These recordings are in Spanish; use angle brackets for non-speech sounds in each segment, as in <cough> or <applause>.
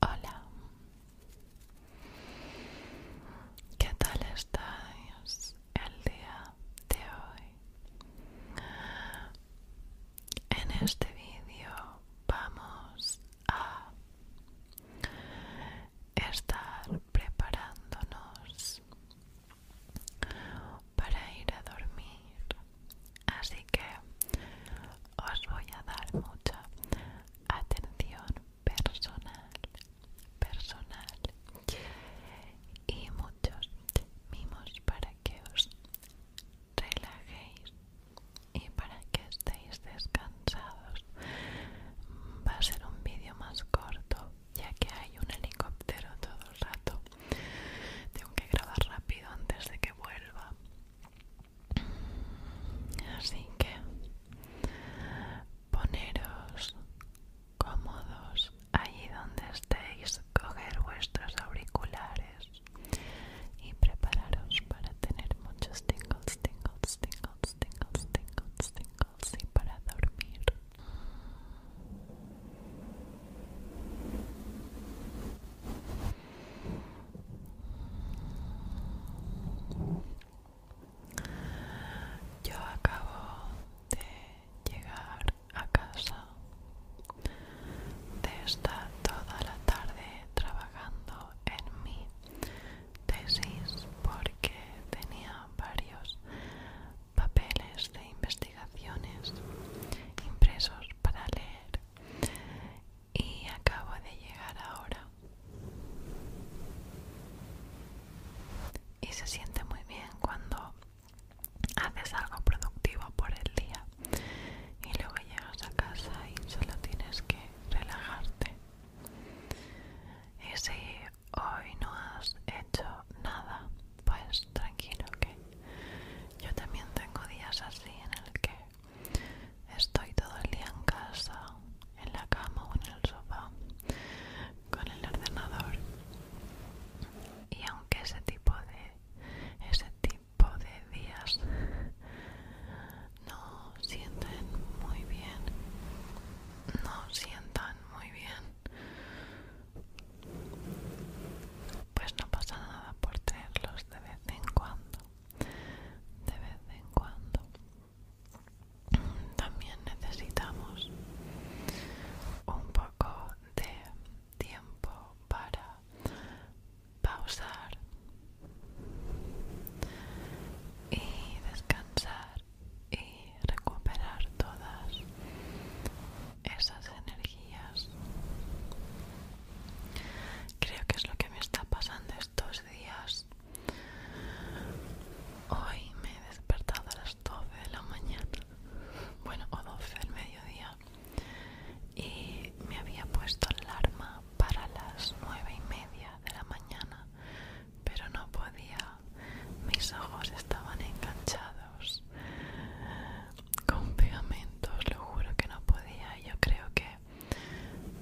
Hola, ¿qué tal estáis el día de hoy? En este vídeo vamos a estar preparándonos para ir a dormir así que os voy a dar mucha atención personal personal y muchos mimos para que os relajéis y para que estéis descansados va a ser un vídeo más corto ya que hay un helicóptero todo el rato. Tengo que grabar rápido antes de que vuelva. Así que poneros cómodos allí donde estéis, coger vuestros auriculares y prepararos para tener muchos tingles, tingles, tingles, tingles, tingles, tingles y para dormir. Yo acabo de llegar a casa de estar toda la tarde trabajando en mi tesis porque tenía varios papeles de investigaciones impresos para leer y acabo de llegar ahora y se siente muy bien cuando haces algo productivo por el día y luego llegas a casa y solo tienes que relajarte ese hoy no has hecho nada, pues tranquilo que yo también tengo días así en el que estoy todo el día en casa, en la cama o en el sofá, con el ordenador. Y aunque ese tipo de ese tipo de días no sienten muy bien, no sientan muy bien. Pues no pasa nada por tenerlos de vez en cuando. De vez en cuando. También necesitamos un poco de tiempo para pausar y descansar y recuperar todas esas energías. Creo que es lo que me está pasando estos días. Hoy me he despertado a las 12 de la mañana, bueno, o 12 del mediodía, y me había puesto alarma para las 9 y media de la mañana, pero no podía mis ojos estaban enganchados con pegamentos, lo juro que no podía. Yo creo que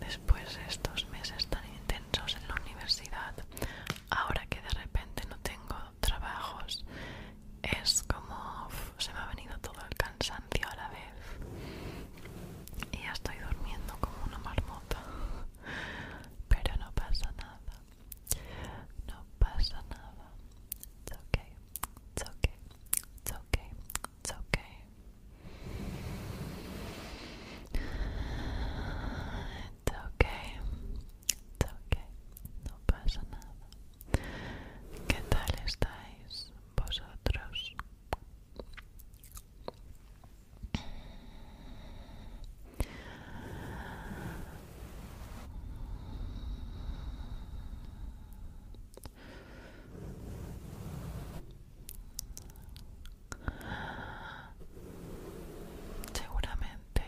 después de estos meses tan intensos en la universidad, ahora que de repente no tengo trabajos, es como se me ha venido todo el cansancio a la vez y ya estoy durmiendo como una marmota <laughs> pero no pasa nada No pasa nada. It's okay. It's okay. It's okay. It's okay. It's okay. It's okay. No pasa nada. ¿Qué tal estáis vosotros? Seguramente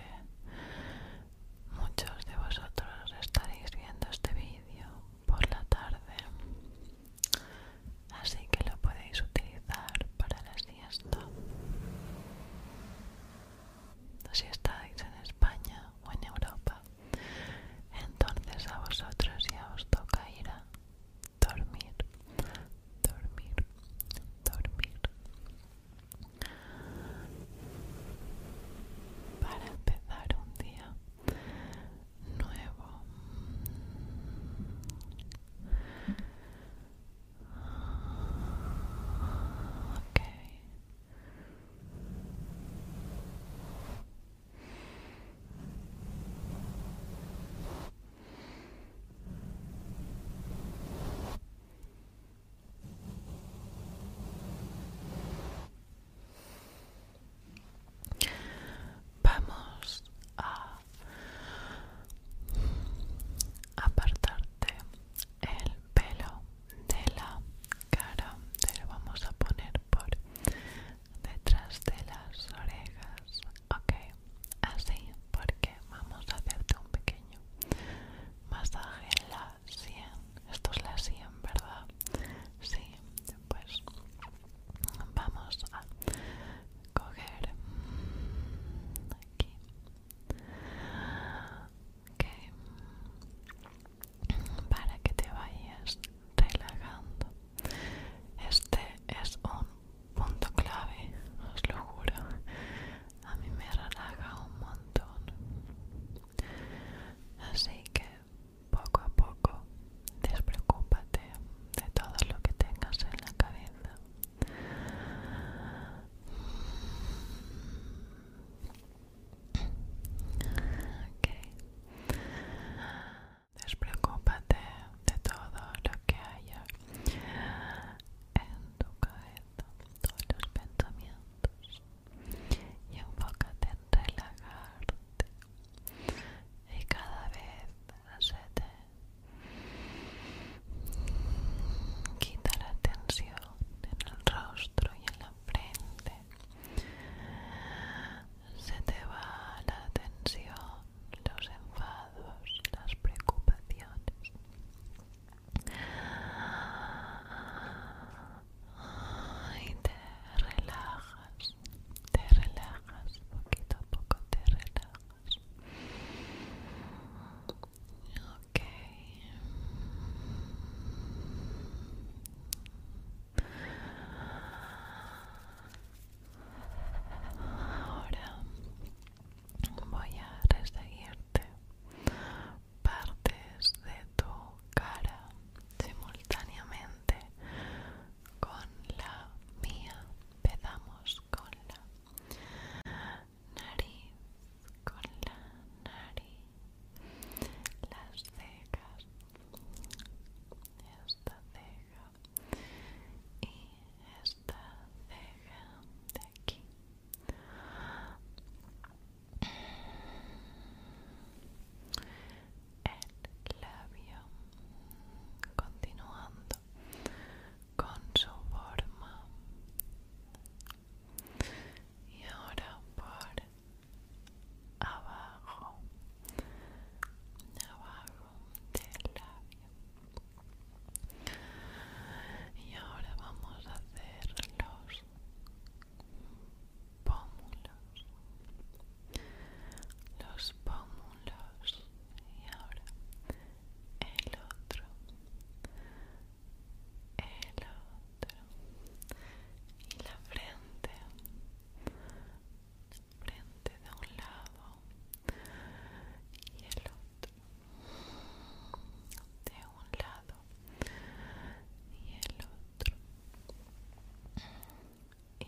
muchos de vosotros estaréis viendo este vídeo por la tarde, así que lo podéis utilizar para la siesta si estáis en España o en Europa, entonces a vosotros ya os toca ir a dormir, dormir, dormir. Para empezar un día nuevo Vamos a apartarte el pelo de la cara te lo vamos a poner por detrás de las orejas ok así porque vamos a hacerte un pequeño masaje en la sien esto es la sien verdad sí pues vamos a coger aquí para que te vayas relajando este es un punto clave os lo juro a mí me relaja un montón así que poco a poco despreocúpate de todo lo que tengas en la cabeza Okay. Despreocúpate de todo lo que haya en tu cabeza, todos los pensamientos y enfócate en relajarte y cada vez Quita la tensión en el rostro y en la frente. Se te va la tensión, los enfados, las preocupaciones. Y te relajas, te relajas, poquito a poco te relajas. Ok. Ahora voy a reseguirte partes de tu cara simultáneamente con la mía. Empezamos con la nariz, con la nariz, las cejas, esta ceja y esta ceja de aquí. El labio, continuando con su forma y ahora por abajo abajo del labio y ahora vamos a hacer los pómulos los pómulos y ahora el otro el otro y la frente frente de un lado y el otro de un lado y el otro y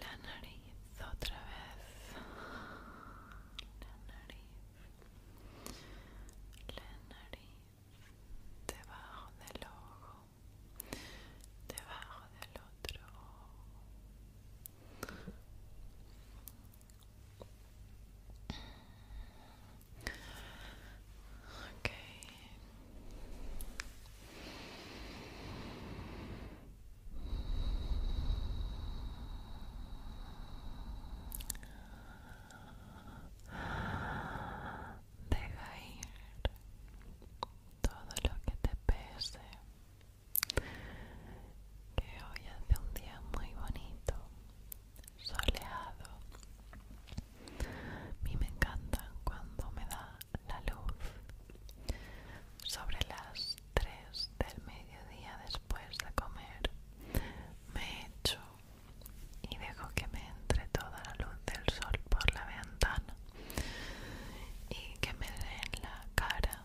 la nariz otra vez la nariz la nariz, debajo del ojo, debajo del otro Okay. Deja ir todo lo que te pese. Que hoy hace un día muy bonito, soleado. A mí me encanta cuando me da la luz sobre las 3 del mediodía después de comer me echo y dejo que me entre toda la luz del sol por la ventana y que me dé en la cara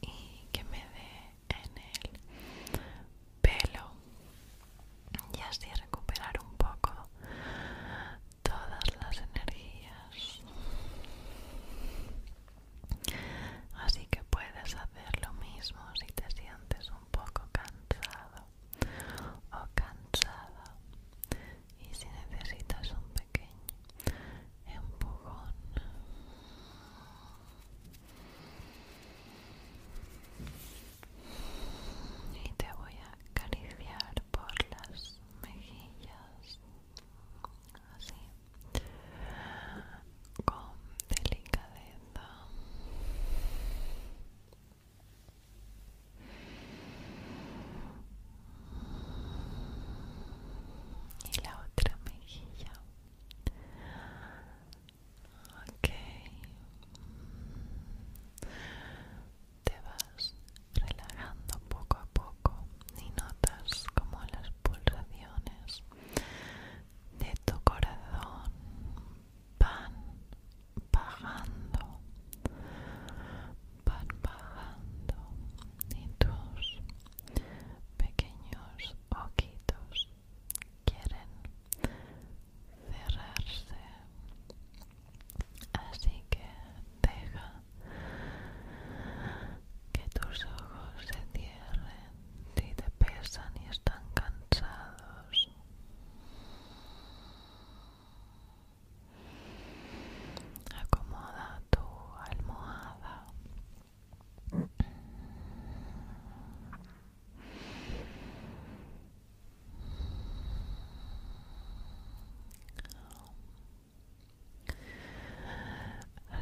y que me dé en el pelo y así recuperar un poco todas las energías Así que puedes hacer lo mismo si te sientes un poco cansado o cansada y si necesitas un pequeño empujón. Y te voy a acariciar por las mejillas, así con delicadeza y la otra mejilla ok te vas relajando poco a poco y notas como las pulsaciones de tu corazón van bajando, van bajando y tus pequeños ojitos quieren cerrarse así que deja que tus ojos se cierren si te pesan y están cansados. Acomoda tu almohada.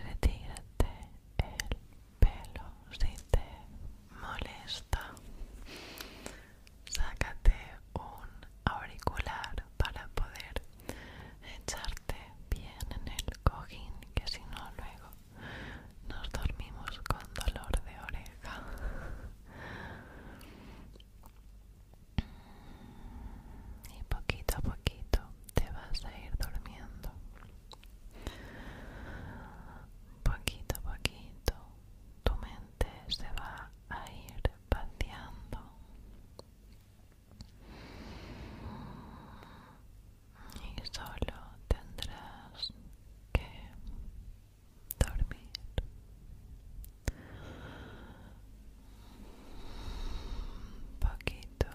Retírate el pelo si te molesta. Sácate un auricular para poder echarte bien en el cojín, que si no luego nos dormimos con dolor de oreja. Y poquito a poquito te vas a ir durmiendo poquito a poquito tu mente se va a ir pateando y solo tendrás que dormir Poquito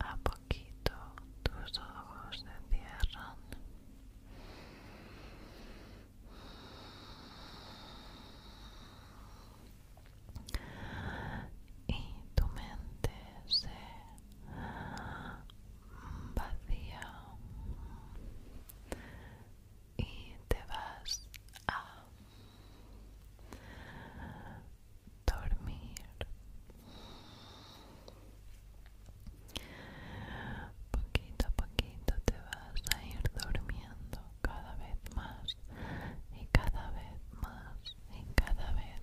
a poquito tus ojos se cierran. Y tu mente se vacía y te vas a dormir poquito a poquito te vas a ir durmiendo cada vez más y cada vez más y cada vez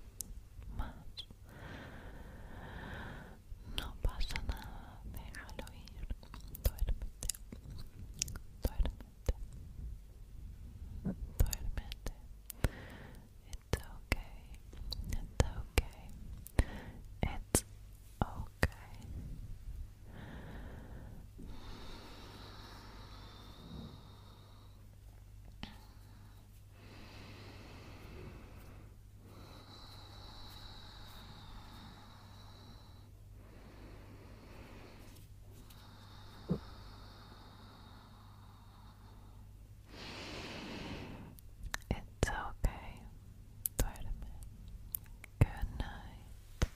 más no pasa nada déjalo ir duérmete Duerme Duérmete. It's okay. It's okay. It's okay. It's okay. It's okay. Duerme. Good night.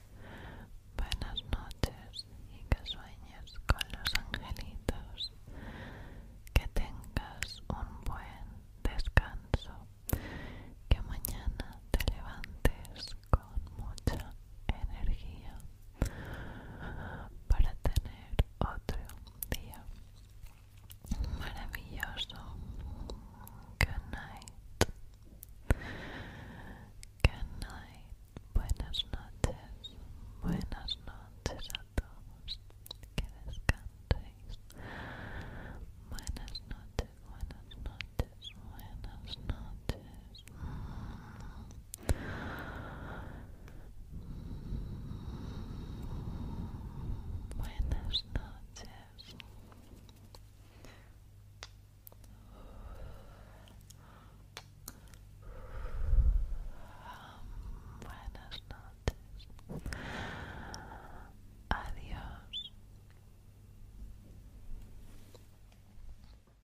Buenas noches y que sueñes con los angelitos. Que tengas un buen descanso. Que mañana te levantes con mucha energía para tener otro día maravilloso. Good night. Good night. Buenas noches. Buenas noches a todos. Que descanséis. Buenas noches, buenas noches, buenas noches. Buenas noches. Buenas noches. Adiós.